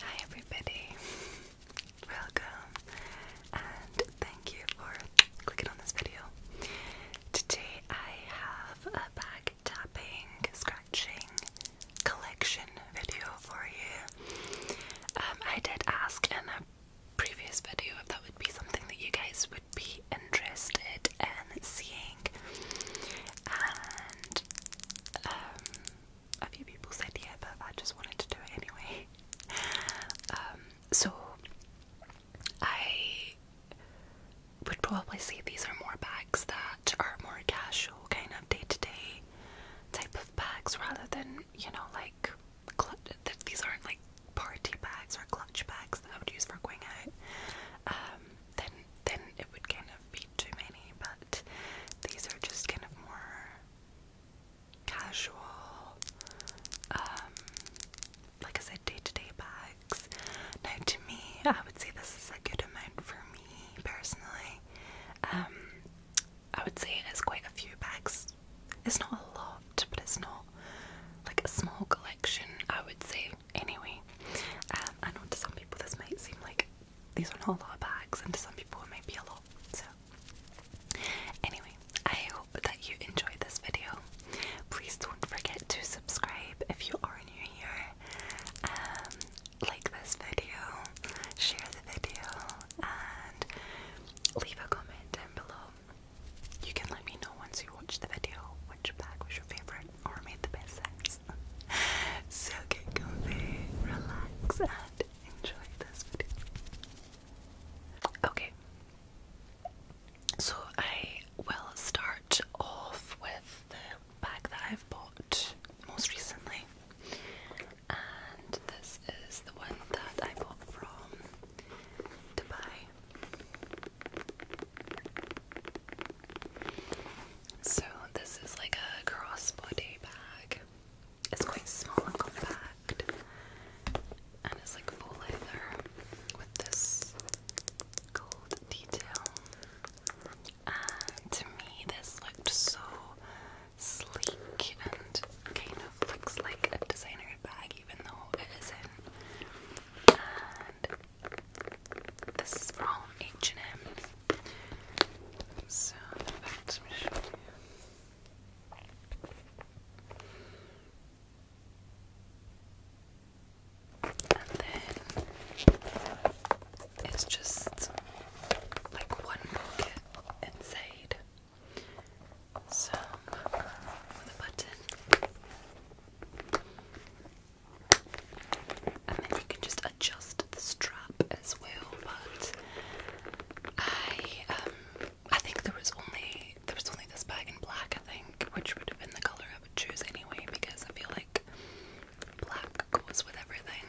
Hi, everybody. Welcome, and thank you for clicking on this video. Today, I have a bag tapping, scratching collection video for you. Um, I did ask in a previous video if that would be something that you guys would be interested in seeing. And um, a few people said yeah, but I just wanted to do it anyway. Um, so I would probably say these are more bags that are more casual, kind of day to day type of bags rather than, you know, like that these aren't like party bags or clutch bags that I would use for going out. Um, then it would kind of be too many, but these are just kind of more casual, um, like I said, day to day bags. Now, to me, I would say this is a good amount for me personally. Um, I would say it is quite a few bags. It's not a lot, but it's not like a small collection. I would say, anyway. Um, I know to some people this might seem like these are not a lot of bags, and to some people it might be a lot. So, anyway, I hope that you enjoyed this video. Please don't forget to subscribe if you are new here. Um, like this video, share the video, and leave a comment down below. You can let me know once you watch the video which bag was your favorite or made the best sense. so get comfy, relax, and enjoy this video. Okay, so I will start off with the bag that I've bought most recently, and this is the one that I bought from Dubai. So this is like a crossbody bag. It's quite small and compact, and it's like full leather with this gold detail. And to me, this looked so sleek and kind of looks like a designer bag, even though it isn't. This is from H&M. So, let me show you. And then it's just like one pocket inside. So, with button and then you can just adjust the strap as well. But I, um, I think there was only there was only this bag in black, I think, which would have been the color I would choose anyway because I feel like black goes with everything.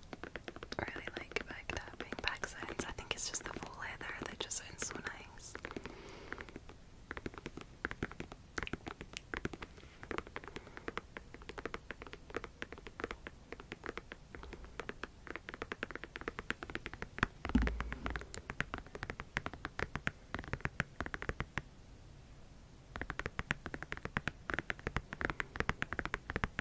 really like back tapping, back sounds. I think it's just the full leather that just sounds so nice.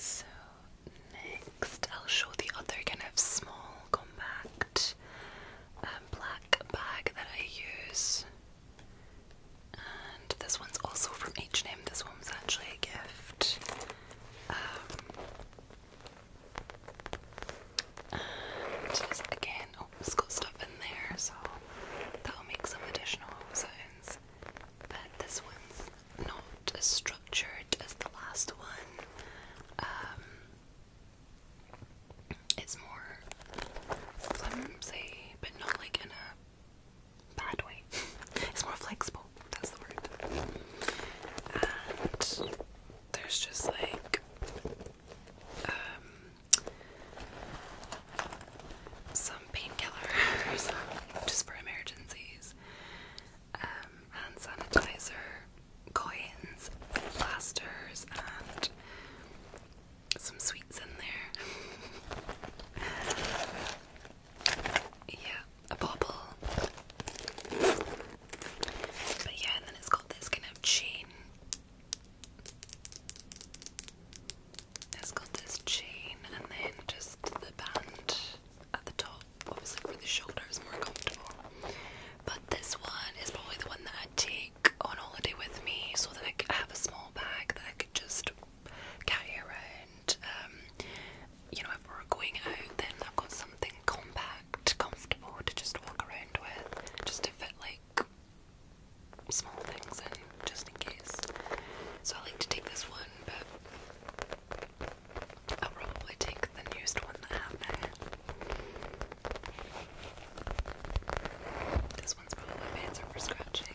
So next, I'll show the other kind of small, compact um, black bag that I use this one's also from H&M. This one was actually a gift. Um, again, oh, it's got stuff in there, so that'll make some additional sounds. But this one's not as structured as the last one. Um, it's more flimsy, but not like in a bad way. It's more flexible, that's the word. And there's just like um, some painkillers just for emergencies, um, hand sanitizer, coins, plasters, and some sweets in there. yeah, a bobble. But yeah, and then it's got this kind of chain. It's got this chain and then just the band at the top, obviously for the shoulder more comfortable. But this one is probably the one that I'd take on holiday with me so that I could have a small bag that I could just carry around. Um, you know, if we're going out, then I've got something compact, comfortable to just walk around with, just to fit like small things in, just in case. So I like to take this one, but I'll probably take the newest one that I have now. This one's probably better for scratching.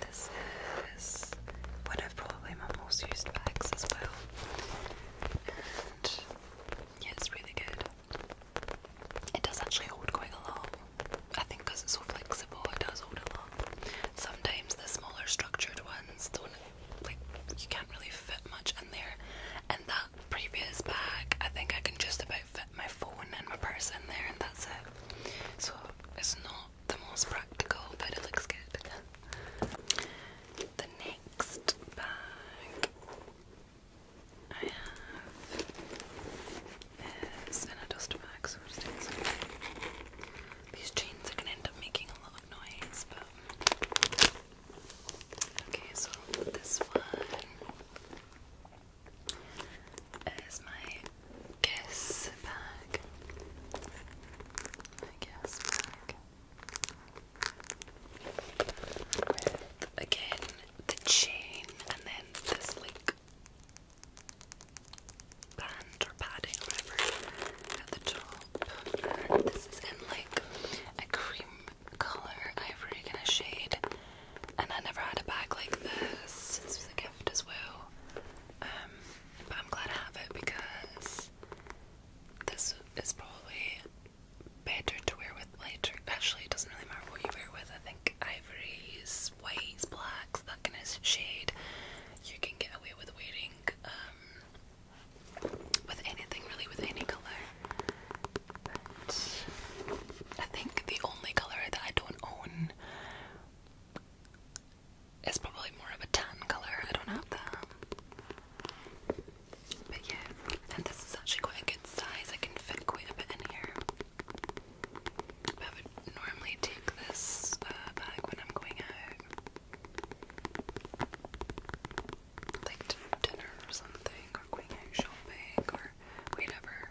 this is one of probably my most used bags as well. And it's really good. It does actually hold quite a lot. I think because it's so flexible, it does hold a lot. Sometimes the smaller structured ones don't like you can't really fit much in there. And that previous bag, I think I can just about fit my phone and my purse in there, and that's it. So it's not the most practical, but it looks good. The next bag I have is in a dust bag, so just these chains are gonna end up making a lot of noise, but Okay, so this one is my guess bag. My guess bag. again the chain and then this like band or padding or whatever at the top. And this is in like a cream color, ivory kind of shade. And I never had a bag like this. This was a gift as well. Um, but I'm glad I have it because this is probably better to wear with lighter. Actually, it doesn't really matter what you wear with. I think ivories, whites, blacks, that shade, you can get away with wearing. Um, with anything really, with any color. I think the only color that I don't own is probably more of a tan color. I don't have that. But yeah, and this is actually quite a good size. I can fit quite a bit in here. I would normally take this uh, bag when I'm going out like dinner or something, or going out shopping, or whatever.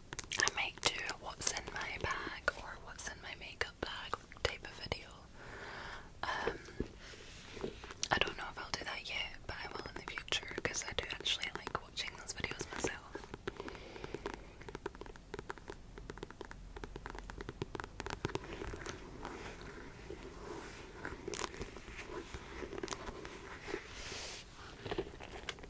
I make do what's in my bag or what's in my makeup bag type of video. Um, I don't know if I'll do that yet, but I will in the future because I do actually like watching those videos myself.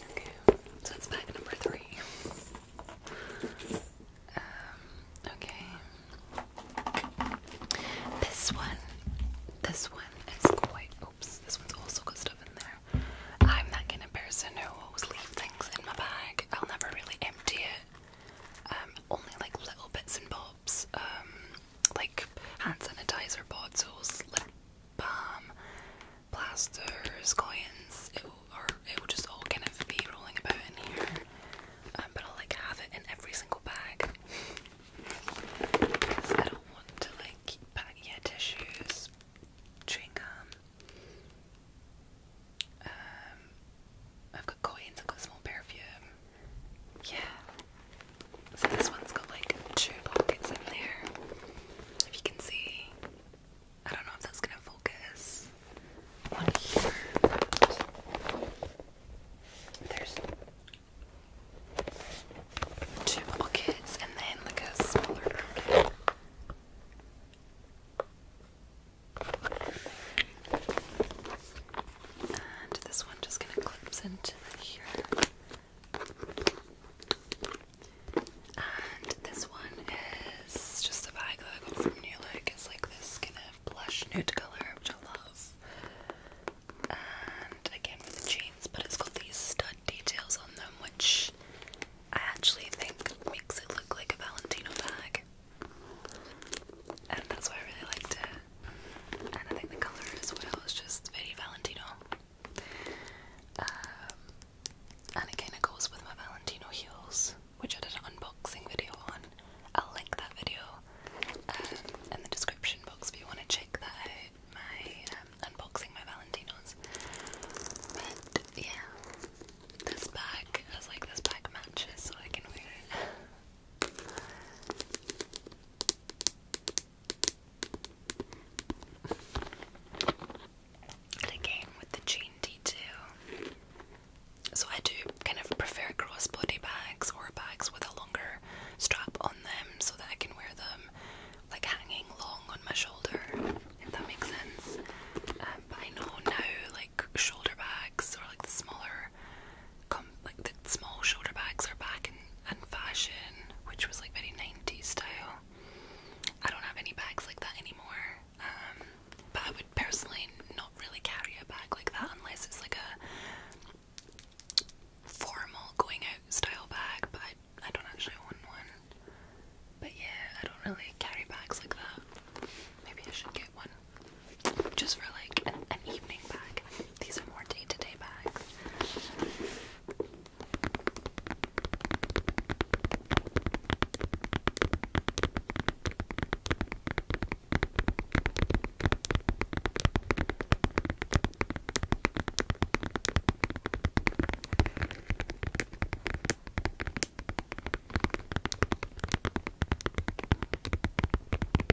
Okay, so that's bag number three. Um, okay. This one, this one is quite, oops, this one's also got stuff in there. I'm that kind of person who always leave things in my bag. I'll never really empty it. Um, only like little bits and bobs. Um, like hand sanitizer bottles, bomb, plasters, coins. It will, or it will just all kind of be rolling about in here. I'm um, gonna like have it in every single bag. I don't want to like keep back tissues, drink Um, I've got coins. I've got small perfume. Yeah. So this one's got like two pockets in there. If you can see. I don't know if that's gonna focus. One here. There's two pockets and then like a smaller pocket. And this one just kind of clips into here. And this one is just a bag that I got from New Look. It's like this kind of blush nude colour, which I love. And again with the jeans, but it's got these stud details on them, which I actually think makes it look like a Valentino bag. And that's why I really liked it and I think the color as well is just very Valentino. Um, and it kind of goes with my Valentino heels, which I did an unboxing video on. I'll link that video um, in the description box if you want to check that out. My um, unboxing my Valentinos, but yeah, this bag is like this bag matches, so I can wear it again with the chain detail. So I do kind of prefer crossbody bags or bags with a longer strap on them so that I can wear them like hanging long on my shoulder, if that makes sense. Um, but I know now like shoulder bags or like the smaller like the small shoulder bags are back in, in fashion, which was like very 90s style. I don't have any bags like that anymore, um, but I would personally not really carry a bag like that unless it's like a formal going out style bag. But I, don't actually own one. But yeah, I don't really carry bags like that. Maybe I should get one just for like an evening bag. These are more day to day bags.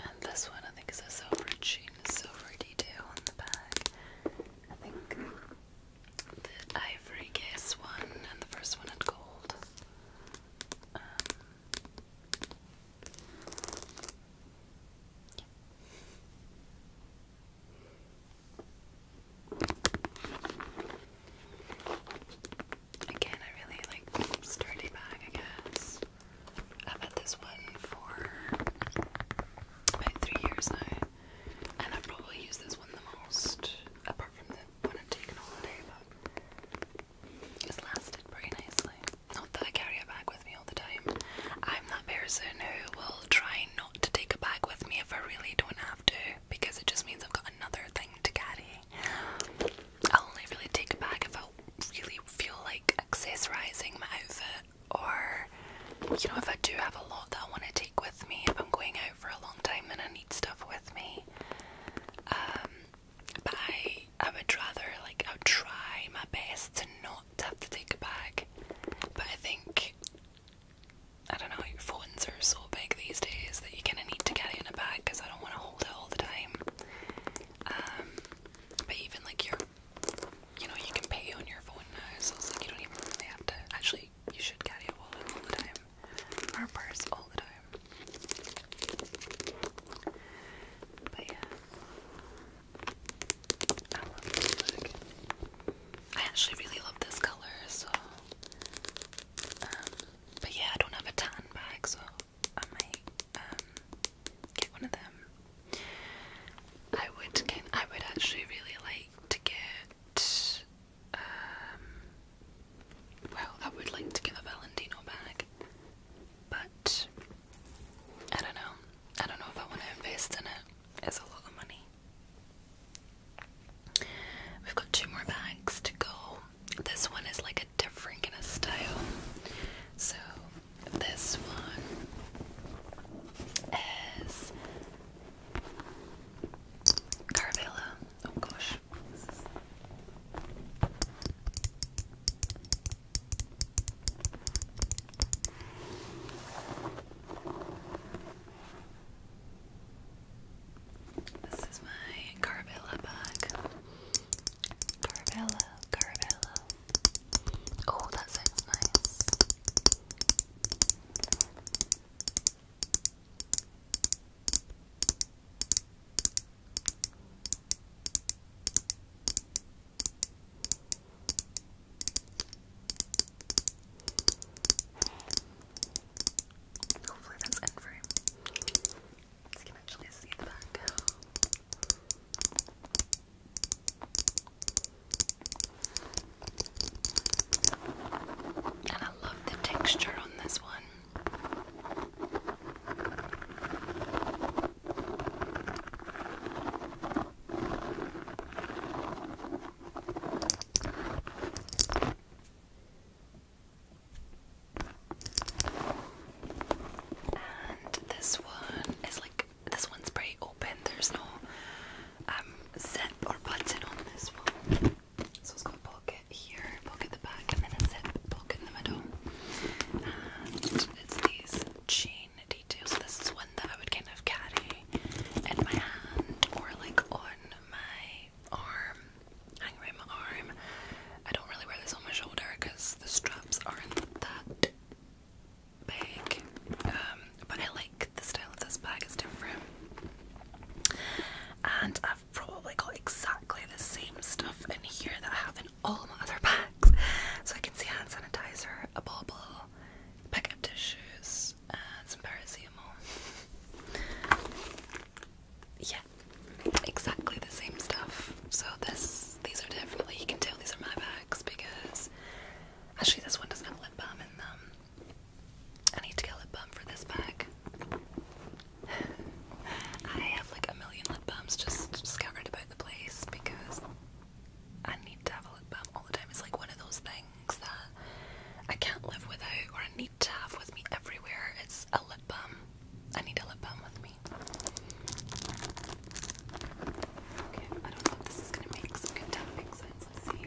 And this one I think is a silver sheen, silver detail on the back. I think the ivory case one and the first one had gold. Um, Again, I really like sturdy bag, I guess. I've had this one for about three years now, and I've probably used this one the most, apart from the one I've taken all day, but it's lasted pretty nicely. Not that I carry a bag with me all the time. I'm that person who will try not to take a bag with me if I really don't have to because it just means I've got another thing to carry. I'll only really take a bag if I really feel like accessorizing my outfit or, you know, if I do have a lot that I want to take with me. If I'm going out for a long time, and I need stuff with me. Um, but I would rather like I'll try my best to not have to take a bag. But I think I don't know, your phones are so big these days that you are gonna need to carry in a bag because I don't want to hold it all the time. Um, but even like your you know, you can pay on your phone now, so it's like you don't even really have to actually you should carry a wallet all the time. Or purse all the time. But yeah. I actually really love this color, so. Um, but yeah, I don't have a tan bag, so I might um, get one of them. I would get. I would actually really like to get. Um, well, I would like to get a Valentino bag, but I don't know. I don't know if I want to invest in it. It's a lot of money. We've got two more bags to go. This one is like a different kind of style. So this one is Carabella. Oh gosh. This is my Carabella bag. Carabella, Carabella. Oh, that sounds nice. Hopefully that's end frame. So you can actually see the back. And I love the texture on this one. And this one is like this one's pretty open. There's no um, zip or button on this one, so it's got a pocket here, pocket in the back, and then a zip pocket in the middle. And it's these chain details. This is one that I would kind of carry in my hand or like on my arm, hang around my arm. I don't really wear this on my shoulder because the straps aren't that big. Um, but I like the style of this bag, it's different. And I've probably got exactly the same stuff in here that I have not all my other bags. So I can see hand sanitizer, a bauble, pickup tissues, and some parasol. yeah, exactly the same stuff. So this, these are definitely, you can tell these are my bags because actually this one doesn't have lip balm in them. I need to get lip balm for this bag. I have like a million lip balms just scattered about the place because I need to have a lip balm all the time. It's like one of those things that I can't live without or I need to have with me everywhere. It's a lip balm. I need a lip balm with me. Okay, I don't know if this is gonna make some good tapping sounds. Let's see.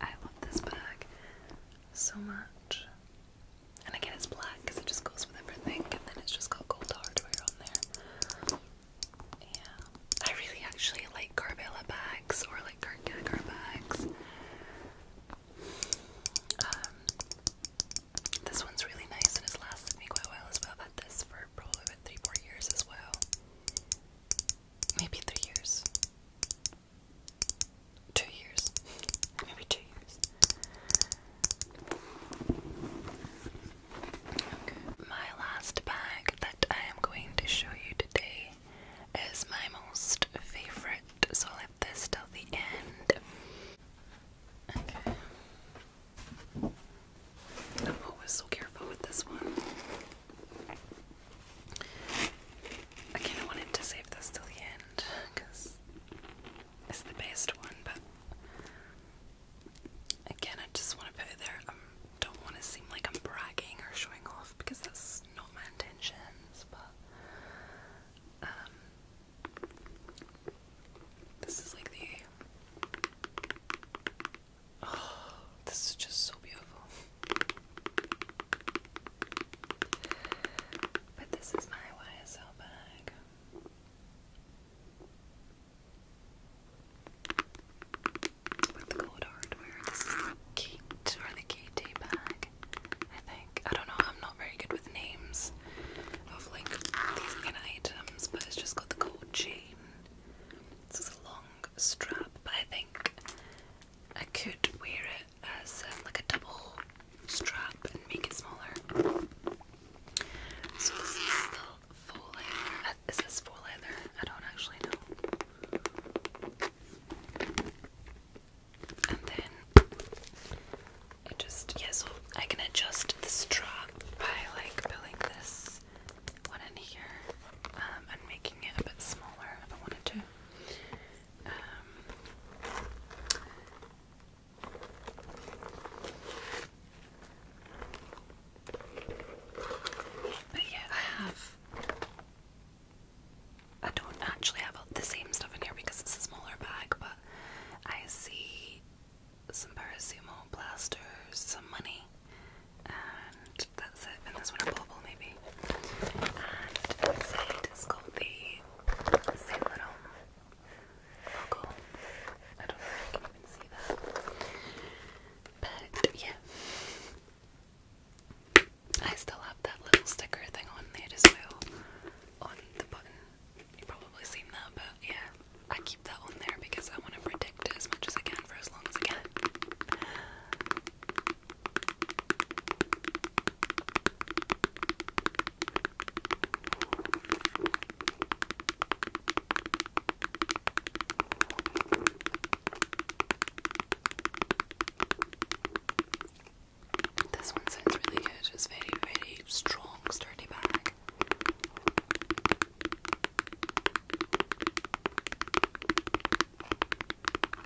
I love this bag so much. And again, it's black because it just goes with everything, and then it's just got gold hardware on there. Yeah, I really actually like Carvela bags or like Kurt bags. Um, this one's really nice and it's lasted me quite a as well. I've had this for probably three, four years as well. Maybe three years two years, maybe two years. Okay. My last bag that I am going to show you today is my most favorite, so I'll leave this till the end. Okay. I'm always so careful with this one. I wanted to save this till the end because is the best one, but again, I just want to put it there. I um, don't want to seem like I'm bragging or showing off because that's not my intentions, but um, this is like the. Oh, this is just so beautiful. But this is my YSL bag. With the gold hardware. This the Kate or the KT bag, I think. I don't know, I'm not very good with names of like these kind of items, but it's just got the gold chain. This is a long strap, but I think I could wear it as uh, like a double strap and make it smaller. So this is the full leather. Uh, is this full leather? I don't actually know. And then it just yeah. I can adjust the strap by like pulling this one in here um, and making it a bit smaller if I wanted to. Um, but yeah, I have. I don't actually have the same stuff in here because it's a smaller bag, but I see some paracetamol plasters, some money, and that's it. And this one a bubble maybe. And inside it's the I still have that little sticker thing on there as well. On the button. you probably seen that, but yeah. I keep that on there because I want to protect it as much as I can for as long as I can. This one sounds really good. It's very, very strong, sturdy bag.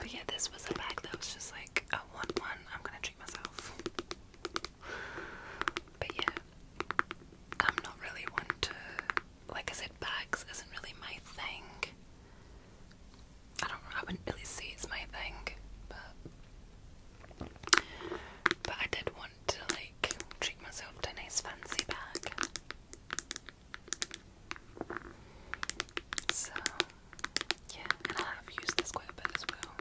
But yeah, this was a bag that was just like a one one, I'm gonna treat myself. But yeah, I'm not really one to like I said, bags isn't really my thing. I don't I wouldn't really say it's my thing, but but I did want to like treat myself to a nice fancy bag. So yeah, and I have used this quite a bit as well.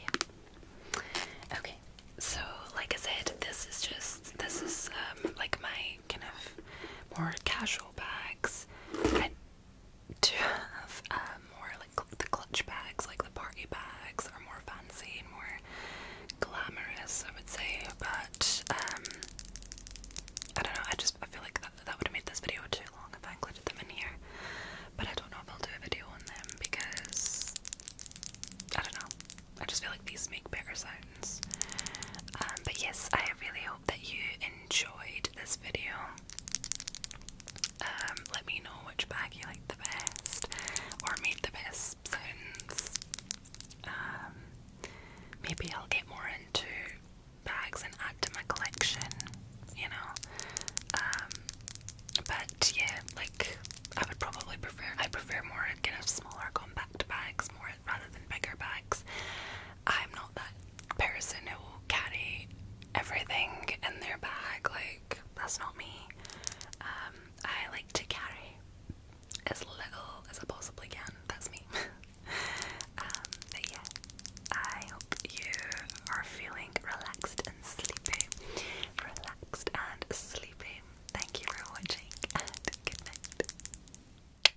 yeah. Okay, so like I said, this is just this is um like my kind of more casual bags to have uh, more like the clutch bags, like the party bags, are more fancy and more glamorous, I would say. But um, I don't know. I just I feel like that, that would have made this video too long if I included them in here. But I don't know if I'll do a video on them because I don't know. I just feel like these make bigger sounds. Um, but yes, I really hope that you enjoyed this video. Um, let me know which bag you like the best or made the best sounds. Um, maybe I'll get more into bags and add to my collection, you know. Um, but yeah, like I would probably prefer I prefer more kind of smaller compact bags more rather than bigger bags. I'm not that person who carries everything in their bag. Like that's not me. Um, I like to carry as little as I possibly can. That's me. Um, but yeah, I hope you are feeling relaxed and sleepy. Relaxed and sleepy. Thank you for watching and good night.